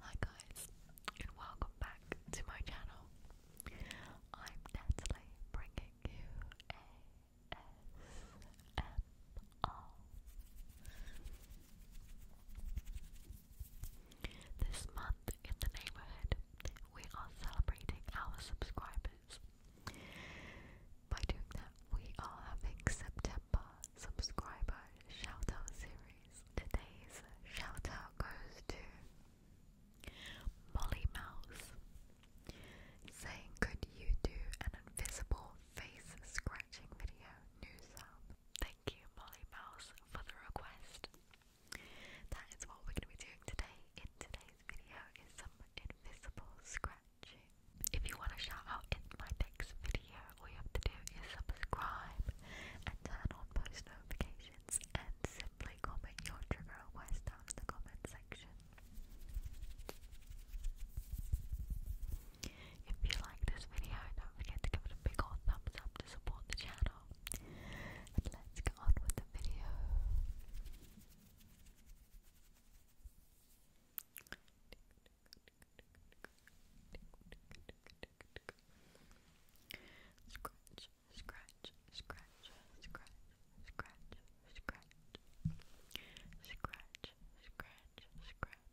Hi guys and welcome back to my channel. I'm Natalie bringing you a S M them This month in the neighborhood, we are celebrating our subscribers. By doing that, we are having September subscriber shout series. Today's shout goes to Molly Mouse saying, Could you do an invisible face scratching video new Thank you, Molly Mouse, for the request. That is what we're going to be doing today. In today's video is some invisible scratching. If you want to shout out in my next video, all you have to do is subscribe and turn on post notifications and simply comment your request down in the comment section. If you like this video, don't forget to give it a big old thumbs up to support the channel. let's get on with the video. Scratch, scratch, scratch, scratch, scratch, scratch, scratch, scratch, scratch,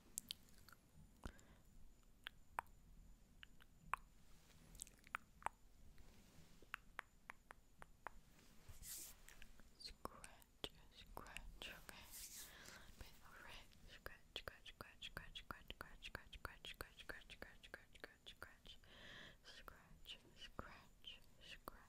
Scratch, scratch, okay. Let me alright. Scratch, scratch, scratch, scratch, scratch, scratch, scratch, scratch, scratch, scratch, scratch, scratch, scratch, scratch, scratch, scratch, scratch, scratch,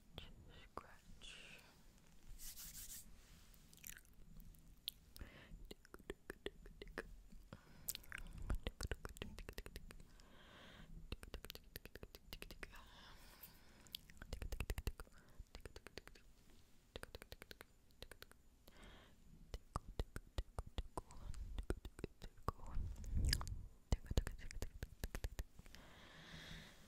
scratch. Tickle,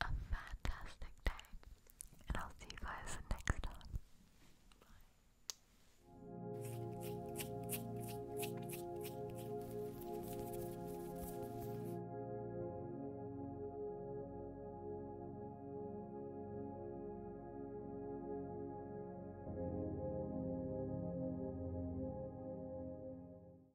a fantastic day, and I'll see you guys next time. Bye.